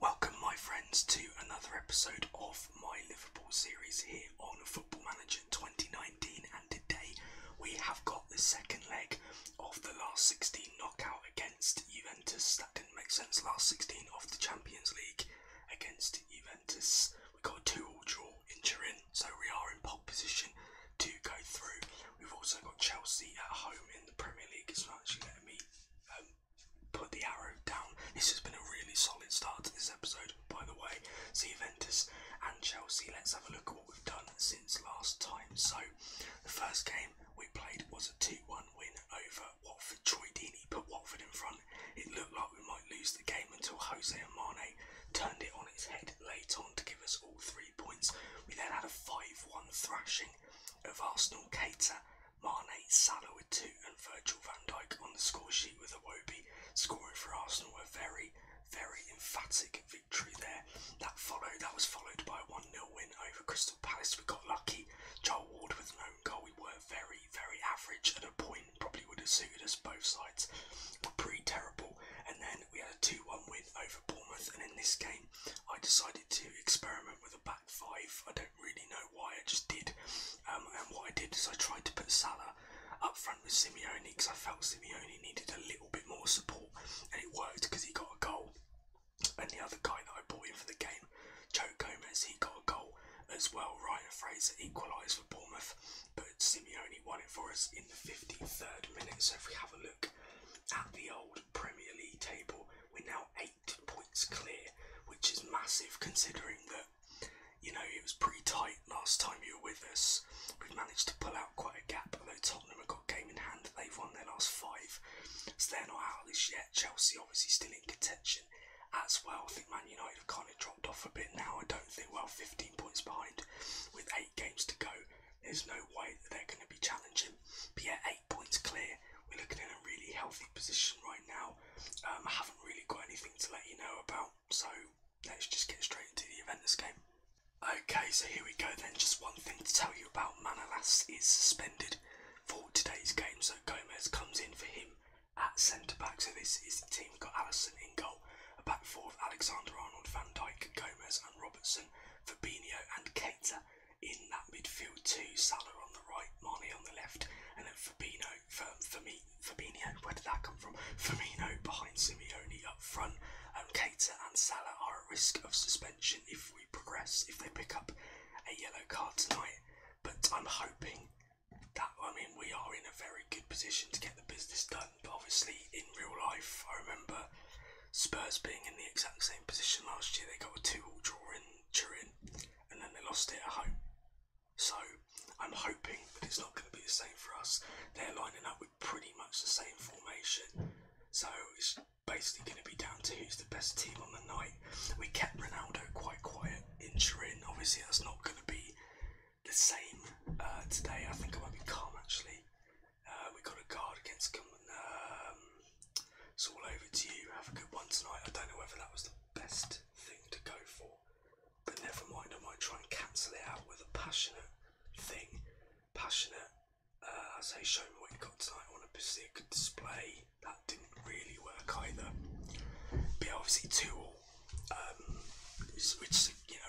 Welcome, my friends, to another episode of my Liverpool series here on Football Manager 2019. And today we have got the second leg of the last 16 knockout against Juventus. That didn't make sense. Last 16 of the Champions League against Juventus. We got a 2 all draw in Turin, so we are in pole position to go through. We've also got Chelsea at home in the Premier League. It's not actually let me um, put the arrow down. This has been a really solid start to this episode, by the way. So Juventus and Chelsea, let's have a look at what we've done since last time. So the first game we played was a 2-1 win over Watford. Troy Deeney put Watford in front. It looked like we might lose the game until Jose and turned it on its head late on to give us all three points. We then had a 5-1 thrashing of Arsenal. Cater Mane, Salah with two, and Virgil van Dyke on the scoresheet sheet with Awobi scoring for Arsenal. A very, very emphatic victory there. That followed. That was followed by a 1 0 win over Crystal Palace. We got lucky. Joel Ward with an own goal. We were very, very average at a point. Probably would have suited us both sides. we pretty terrible. And then we had a 2 1 win over Bournemouth. And in this game, I decided to experiment with a back five. I don't really know why. I just did. Um, and what I did is I tried to put Salah up front with Simeone because I felt Simeone needed a little bit more support, and it worked because he got a goal. And the other guy that I brought in for the game, Joe Gomez, he got a goal as well. Ryan Fraser equalised for Bournemouth, but Simeone won it for us in the 53rd minute. So if we have a look at the old Premier League table, we're now eight points clear, which is massive considering that, you know, it was pretty tight last time you were with us. We've managed to pull out quite a gap, although Tottenham have got game in hand. They've won their last five, so they're not out of this yet. Chelsea obviously still in contention as well. I think Man United have kind of dropped off a bit now. I don't think, well, 15 points behind with eight games to go. There's no way that they're going to be challenging but yeah, eight points clear. We're looking in a really healthy position right now. Um, I haven't really got anything to let you know about, so let's just get straight into the event this game. Okay, so here we go then. Just one thing to tell you about Manolas is suspended for today's game, so Gomez comes in for him at centre back. So this is the team. We've got Allison in goal, a back four of Alexander Arnold, Van Dijk, Gomez, and Robertson, Fabinho, and Keita in that midfield too. Salah on the right, Mane on the left, and then Fabino, Firmino, Fabinho. Where did that come from? Firmino behind Simeone up front. Um, Keita and Salah are at risk of suspension if we progress if they pick up a yellow card tonight. But I'm hoping that I mean we are in a very good position to get the business done. But obviously in real life, I remember Spurs being in the exact same position last year, they got a 2 all draw in Turin and then they lost it at home. So I'm hoping that it's not going to be the same for us. They're lining up with pretty much the same formation. So it's basically going to be down to who's the best team on the night. We kept Ronaldo quite quiet in Turin. Obviously, that's not going to be the same uh, today. I think I might be calm actually. Uh, we got a card against Cumberland. it's all over to you. Have a good one tonight. I don't know whether that was the best thing to go for, but never mind. I might try and cancel it out with a passionate thing. Passionate. I uh, say, show me what you got tonight. I want a good display. That didn't really work either. But obviously two all. Um,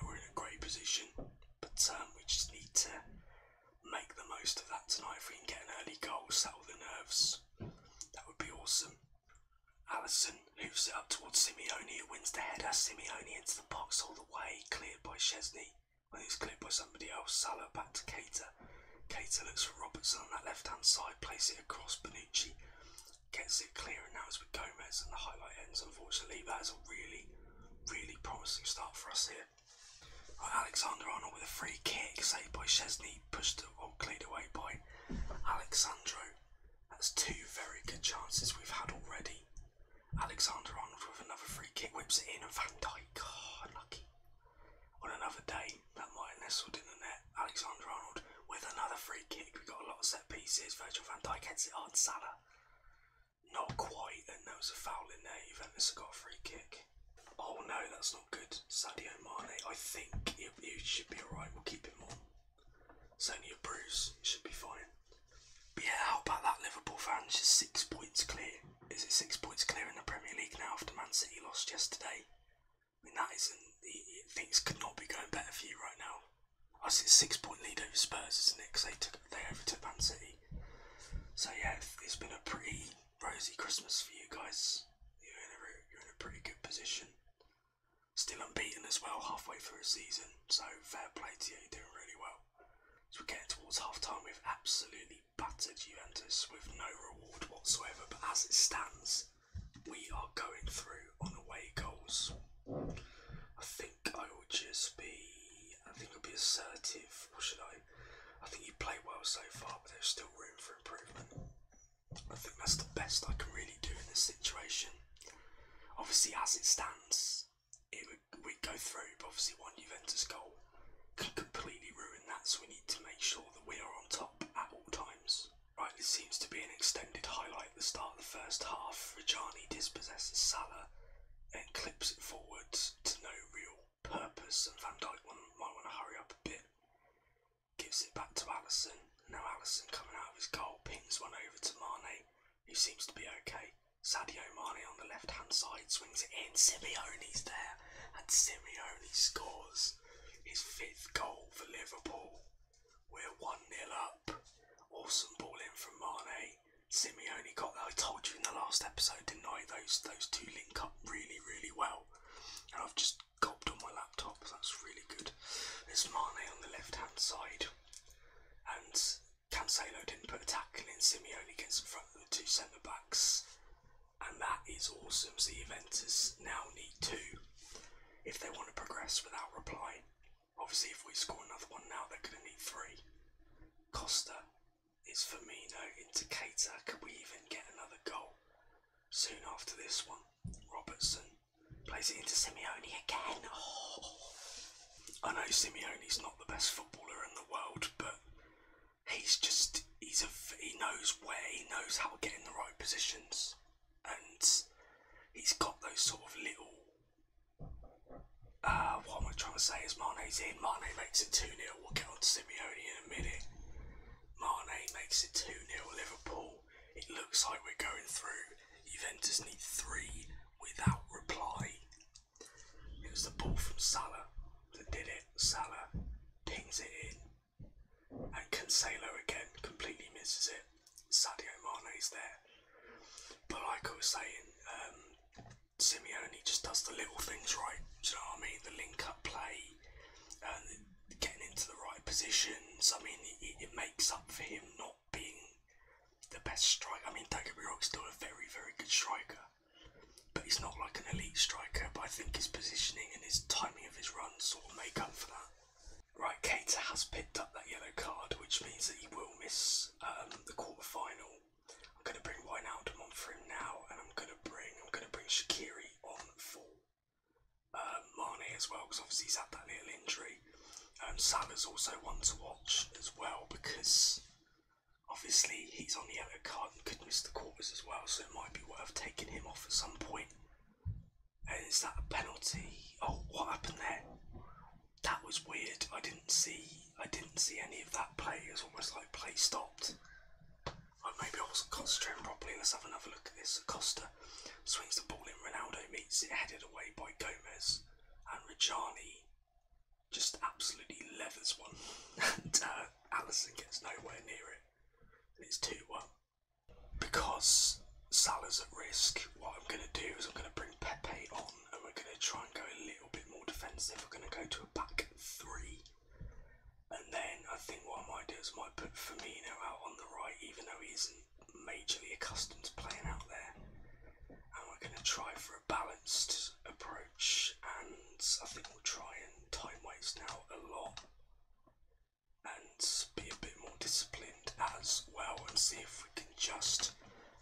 we're in a great position, but um, we just need to make the most of that tonight. If we can get an early goal, settle the nerves, that would be awesome. Allison moves it up towards Simeone, who wins the header. Simeone into the box all the way, cleared by Chesney. I think it's cleared by somebody else. Salah back to Cater. Cater looks for Robertson on that left hand side, plays it across Benucci, gets it clear, and now it's with Gomez, and the highlight ends. Unfortunately, that is a really, really promising start for us here. Alexander Arnold with a free kick, saved by Chesney, pushed it well oh, cleared away by Alexander. That's two very good chances we've had already. Alexander Arnold with another free kick, whips it in, and Van Dyke, oh, ah, lucky. On another day, that might have nestled in the net. Alexander Arnold with another free kick. We've got a lot of set pieces. Virgil van Dijk heads it on. Salah. Not quite, and there was a foul in there. Juventus got a free kick. Oh no, that's not good. Sadio Mane, I think you should be alright. We'll keep him on. It's only a bruise, it should be fine. But yeah, how about that Liverpool fans? Just six points clear. Is it six points clear in the Premier League now after Man City lost yesterday? I mean, that isn't. Things could not be going better for you right now. I see six point lead over Spurs, isn't it? Because they, took, they overtook Man City. So yeah, it's been a pretty rosy Christmas for you guys. You're in a, pretty good position. Still unbeaten as well, halfway through a season. So fair play to you, you're doing really well. so we are getting towards half time, we've absolutely battered Juventus with no reward whatsoever. But as it stands, we are going through on away goals. I think think I will just be, I think I'll be assertive, or should I? I think you played well so far, but there's still room for improvement. I think that's the best I can really do in this situation. Obviously, as it stands, it would, we'd go through, but obviously one Juventus goal can completely ruin that, so we need to make sure that we are on top at all times. Right, this seems to be an extended highlight the start of the first half. Rajani dispossesses Salah and clips it forwards to no real purpose, and Van Dyke might want to hurry up a bit. Gives it back to Allison. Now Allison coming out of his goal Pings one over to Mane, who seems to be okay. Sadio Mane on the left hand side swings it in. Simeone's there, and Simeone scores his fifth goal for Liverpool. We're 1 0 up. Awesome ball in from Mane. Simeone. Simeone got I told you in the last episode, didn't I? Those those two link up really, really well. And I've just gulped on my laptop, that's really good. There's Mane on the left hand side. And Cancelo didn't put a tackle in, Simeone gets in front of the two centre backs. And that is awesome. So Juventus now need two if they want to progress without reply. Obviously, if we score another one now, they're going to need three. Costa it's Firmino into Keita. Could we even get another goal? Soon after this one, Robertson plays it into Simeone again. Oh. I know is not the best footballer in the world, but he's just he's a he knows where he knows how to get in the right positions, and he's got those sort of little uh, what i am trying to say is Mane in. Mane makes it 2 0. We'll get on to Simeone in a minute. Mane makes it 2 0. Liverpool, it looks like we're going through. Juventus need three without reply. It was the ball from Salah that did it. Salah pings it in. And Cancelo again completely misses it. Sadio is there. But like I was saying, um, Simeone just does the little things right. you know what I mean? The link up play, and getting into the right positions. I mean, it, makes up for him not being the best striker. I mean, don't get still a very, very good striker, but he's not like an elite striker. But I think his positioning and his timing of his runs sort of make up for that. Right, Cater has picked up that yellow card, which means that he will miss um, the quarterfinal. I'm gonna bring Wijnaldum on for him now, and I'm gonna bring I'm gonna bring Shakiri on for uh, Mane as well, because obviously he's had that little injury. Um, Salah's also one to watch as well because obviously he's on the other card and could miss the quarters as well, so it might be worth taking him off at some point. is that a penalty? Oh, what happened there? that was weird. I didn't see I didn't see any of that play. It was almost like play stopped. Well, maybe I wasn't concentrating properly. Let's have another look at this. Costa swings the ball in. Ronaldo meets it, headed away by Gomez, and Rajani just absolutely leathers one. and uh, Allison gets nowhere near it, it's two one. Because Salah's at risk, what I'm going to do is I'm going to bring Pepe on and we're going to try and go a little bit more defensive. We're going to go to a back three. And then I think what I might do is might put Firmino out on the right, even though he isn't majorly accustomed to playing out there. And we're going to try for a balanced approach. And I think we'll try and time waste now a lot and be a bit more disciplined as well and see if we can just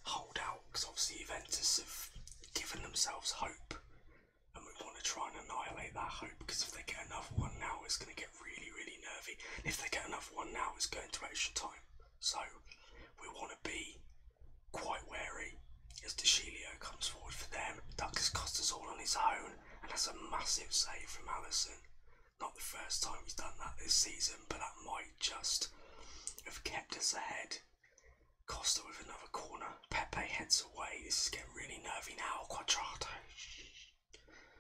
hold out because obviously Juventus have given themselves hope and we want to try and annihilate that hope because if they get another one now it's going to get really really nervy and if they get another one now it's going to extra time so we want to be quite wary as DeShilio comes forward for them Douglas Costa's all on his own and that's a massive save from Allison not the first time he's done that this season but that might just have kept us ahead. Costa with another corner. Pepe heads away. This is getting really nervy now. Quadrato.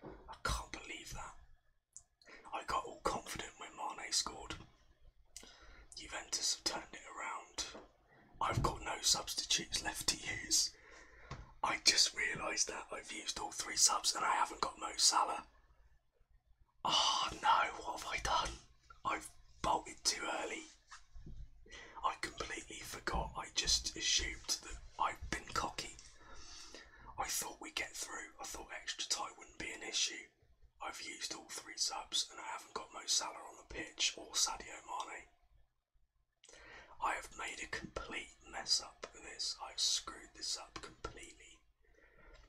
I can't believe that. I got all confident when Mane scored. Juventus have turned it around. I've got no substitutes left to use. I just realised that I've used all three subs and I haven't got Mo Salah. Oh no, what have I done? I've bolted too early. I completely forgot. I just assumed that I've been cocky. I thought we'd get through. I thought extra time wouldn't be an issue. I've used all three subs and I haven't got Mo Salah on the pitch or Sadio Mane. I have made a complete mess up of this. I've screwed this up completely.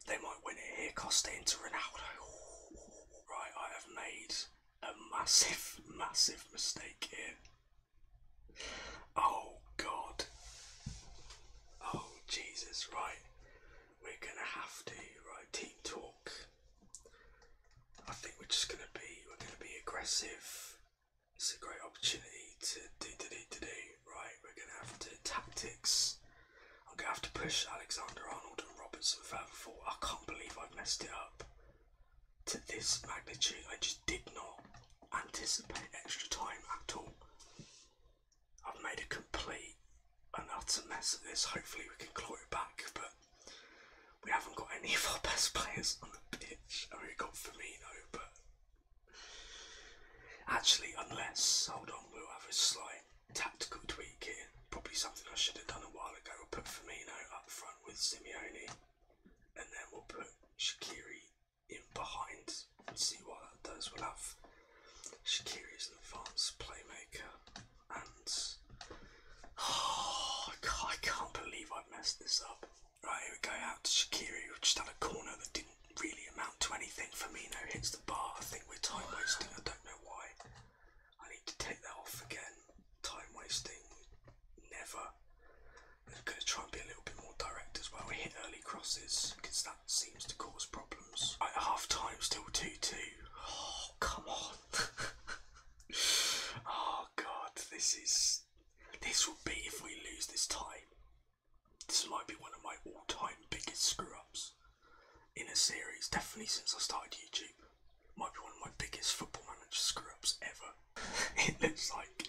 They might win it here, Costa into Ronaldo. Ooh, right, I have made a massive, massive mistake here. Oh God. Oh Jesus, right. We're gonna have to, right, team talk. I think we're just gonna be we're gonna be aggressive. It's a great opportunity to do do do do do right, we're going to have to tactics. I'm going to have to push Alexander Arnold and Robertson further forward. I can't believe I messed it up to this magnitude. I just did not anticipate extra time at all. I've made a complete and utter mess of this. Hopefully we can claw it back, but we haven't got any of our best players on the pitch. I mean, we've got Firmino, but Actually, unless, hold on, we'll have a slight tactical tweak here. Probably something I should have done a while ago. We'll put Firmino up front with Simeone, and then we'll put Shakiri in behind and see what that does. We'll have Shakiri as an advanced playmaker, and oh, I can't believe I've messed this up. Right, here we go out to Shakiri, who just had a corner that didn't really amount to anything. for me? No, hits the bar. I think we're time wasting. I don't know why. I need to take that off again. Time wasting. Never. I'm going to try and be a little bit more direct as well. We hit early crosses because that seems to cause problems. Right, half time, still 2 2. Oh, come on. oh, God. This is. This will be if we lose this time. This might be one of my all time biggest screw ups in a series, definitely since I started YouTube. Might be one of my biggest football manager screw ups ever. it looks like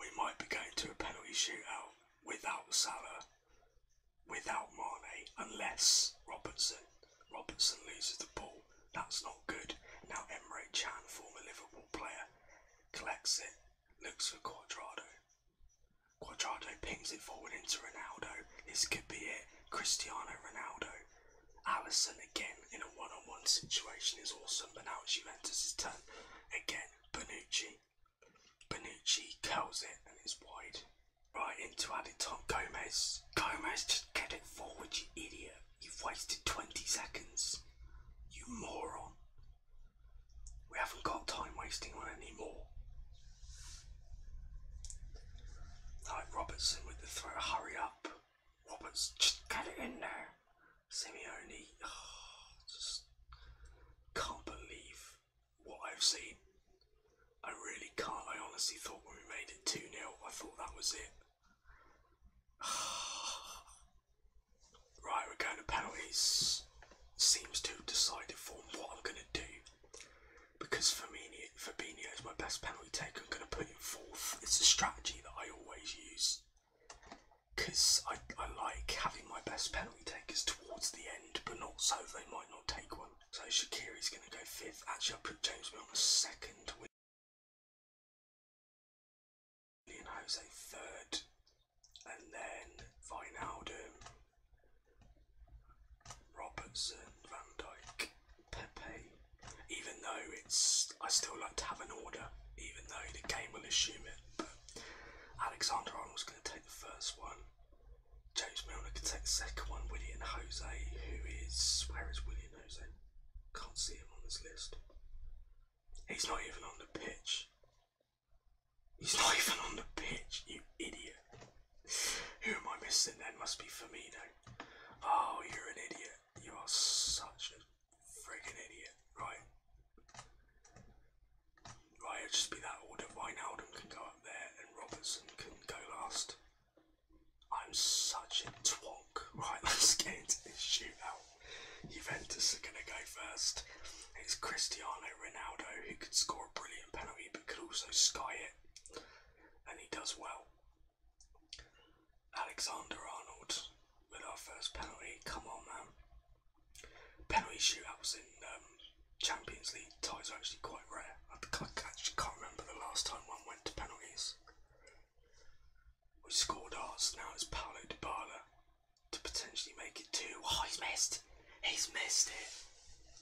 we might be going to a penalty shootout without Salah, without Mane, unless Robertson. Robertson loses the ball. That's not good. Now Emre Chan, former Liverpool player, collects it, looks for Quadrado, Quadrado pings it forward into Ronaldo. This could be it. Cristiano Ronaldo. Allison again in a one on one situation is awesome, but now it's Juventus' turn. Again, Bonucci. Bonucci curls it and it's wide. Right into Aditop Gomez. Gomez, just get it forward, you idiot. You've wasted 20 seconds. You moron. We haven't got time wasting on any more. Like Robertson with the throw, hurry up. Roberts, just get it in there. Simeone, oh, just can't believe what I've seen. I really can't. I honestly thought when we made it 2 0, I thought that was it. Right, we're going to penalties. Seems to have decided for what I'm going to do. Because Firmino, Fabinho is my best penalty taker, I'm going to put him fourth. It's a strategy that I always use. Because I, I like having my best penalty takers towards the end, but not so they might not take one. So Shakiri's going to go fifth. Actually, i put James Milner second. Willian Jose third, and then Vinaldum, Robertson, Van Dijk, Pepe. Even though it's, I still like to have an order, even though the game will assume it. But Alexander Arnold's going to take the first one. James Milner can take the second one. Willian Jose, who is where is Willian Jose? Can't see him on this list. He's not even on the pitch. He's not even on the pitch, you idiot. Who am I missing That Must be Firmino. Oh, you're an idiot. You are such a friggin' idiot. Right. Right, it'll just be that order. Wijnaldum can go up there and Robertson can go last. I'm such a twank, Right, let's get into this shootout. Juventus are going to go first. It's Cristiano Ronaldo who could score a brilliant penalty but could also sky it, and he does well. Alexander Arnold with our first penalty. Come on, man. Penalty shootouts in um, Champions League ties are actually quite rare. I actually can't remember the last time one went to penalties. We scored ours, now it's Paolo Dybala to potentially make it two. Oh, he's missed. He's missed it.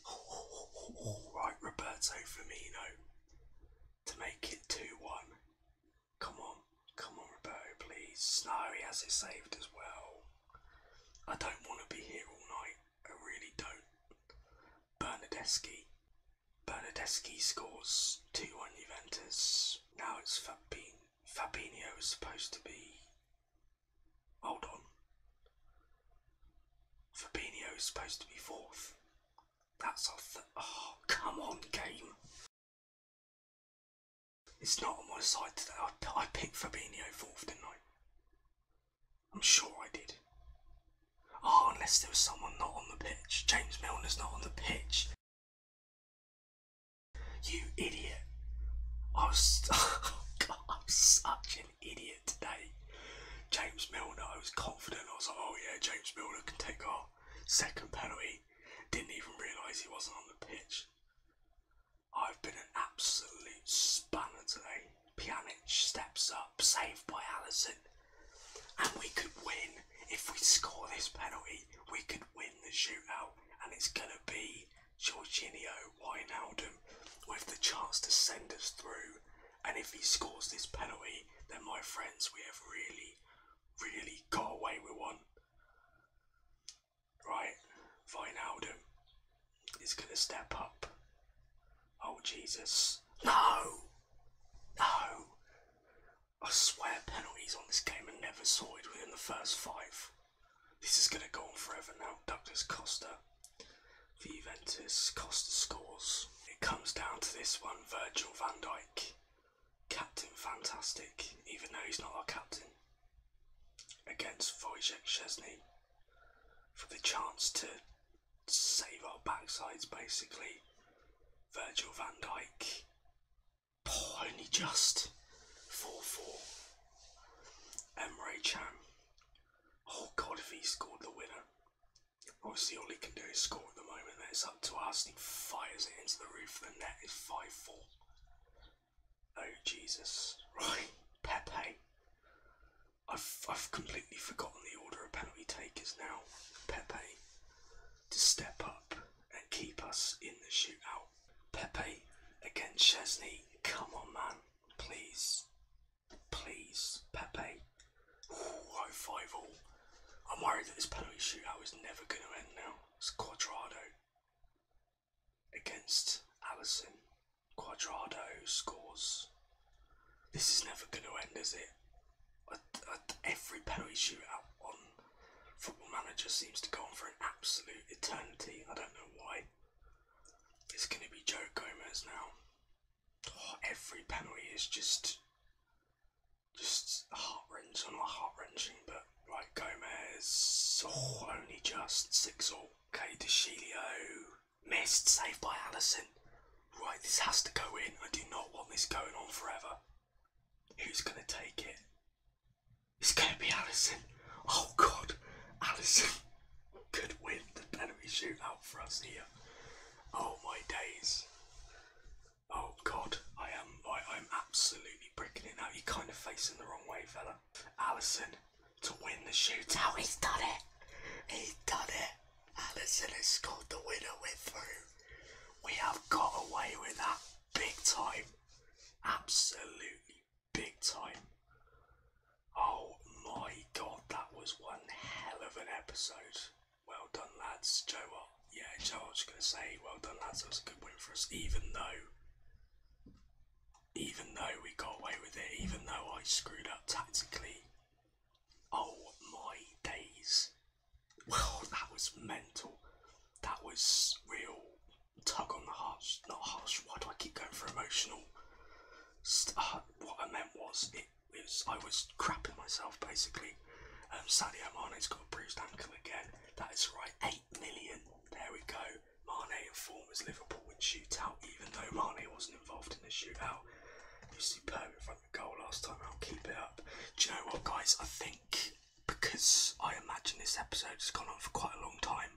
Oh, oh, oh, oh. Right, Roberto Firmino to make it 2-1. Come on. Come on, Roberto, please. No, he has it saved as well. I don't want to be here all night. I really don't. Bernadeschi. Bernadeschi scores 2-1 Juventus. Now it's Fabinho. Fabinho is supposed to be. Hold on. Fabinho is supposed to be fourth. That's off the. Oh, come on, game. It's not on my side today. I, I picked Fabinho fourth, didn't I? I'm sure I did. Oh, unless there was someone not on the pitch. James Milner's not on the pitch. You idiot. Oh God, I'm such an idiot today. James Milner, I was confident. I was like, oh yeah, James Milner can take our second penalty. Didn't even realise he wasn't on the pitch. I've been an absolute spanner today. Pjanic steps up, saved by Allison, and we could win if we score this penalty, we could win the shootout, and it's going to be Jorginho Wijnaldum with the chance to send us through. And if he scores this penalty, then my friends, we have really, really got away with one. Right, Wijnaldum is going to step up. Oh, Jesus. No! No! I swear penalties on this game and never saw it within the first five. This is going to go on forever now. Douglas Costa for Juventus. Costa scores. It comes down to this one. Virgil van Dijk. Captain fantastic, even though he's not our captain. Against Wojciech Chesney, for the chance to save our backsides basically. Virgil van Dijk only just. 4-4. Emre Chan. Oh god, if he scored the winner. Obviously all he can do is score at the moment. Then it's up to us. He fires it into the roof of the net. It's 5-4. Oh Jesus. Right. Pepe. I've, I've completely forgotten the order of penalty takers now. Pepe to step up and keep us in the shootout. Pepe against Chesney. Come on, man. Please. Please, Pepe. high oh, five all. I'm worried that this penalty shootout is never going to end now. It's Quadrado against Allison. Quadrado scores. This is never going to end, is it? every penalty shootout one Football Manager seems to go on for an absolute eternity. I don't know why. It's going to be Joe Gomez now. Oh, every penalty is just, just heart wrenching. Not heart wrenching, but like Gomez. Oh, only just six all. Okay, DeShilio missed, saved by Allison. Right, this has to go in. I do not want this going on forever. Who's going to take it? It's going to be Allison. Oh, God. Allison could win the penalty shootout for us here. Oh, my days. Oh, God. I am I, I'm absolutely breaking it now. You're kind of facing the wrong way, fella. Allison to win the shootout. He's done it. He's done it. Allison has scored the winner. with are we have got away with that big time. Absolutely big time. Oh my god, that was one hell of an episode. Well done, lads. Joe, Yeah, Joe, I was going to say, well done, lads. That was a good win for us, even though even though we got away with it, even though I screwed up tactically. Oh my days. Well, that was mental. That was real tug on the heart. Not harsh. Why do I keep going for emotional? Uh, what I meant was, it is I was crapping myself basically. Um, Sadio Mane's got a bruised ankle again. That is right. Eight million. There we go. Mane in form Liverpool would shoot out, even though Mane wasn't involved in the shootout. was superb goal last time. I'll keep it up. Do you know what, guys? I think because I imagine this episode has gone on for quite a long time,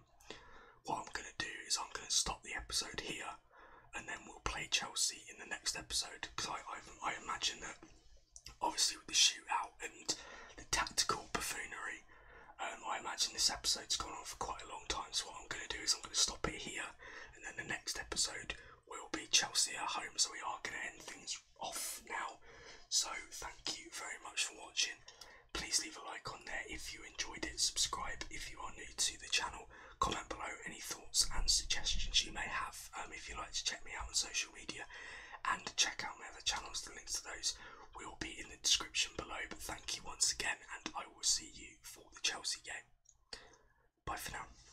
what I'm going to do is I'm going to stop the episode here and then we'll play Chelsea in the next episode because I, I, I imagine that obviously with the shootout and the tactical buffoonery. Um, I imagine this episode's gone on for quite a long time, so what I'm going to do is I'm going to stop it here, and then the next episode will be Chelsea at home, so we are going to end things off now. So, thank you very much for watching. Please leave a like on there if you enjoyed it. Subscribe if you are new to the channel. Comment below any thoughts and suggestions you may have um, if you like to check me out on social media and check out my other channels. The links to those will be in the description below. But thank you once again, and I will see you for the Chelsea game. Bye for now.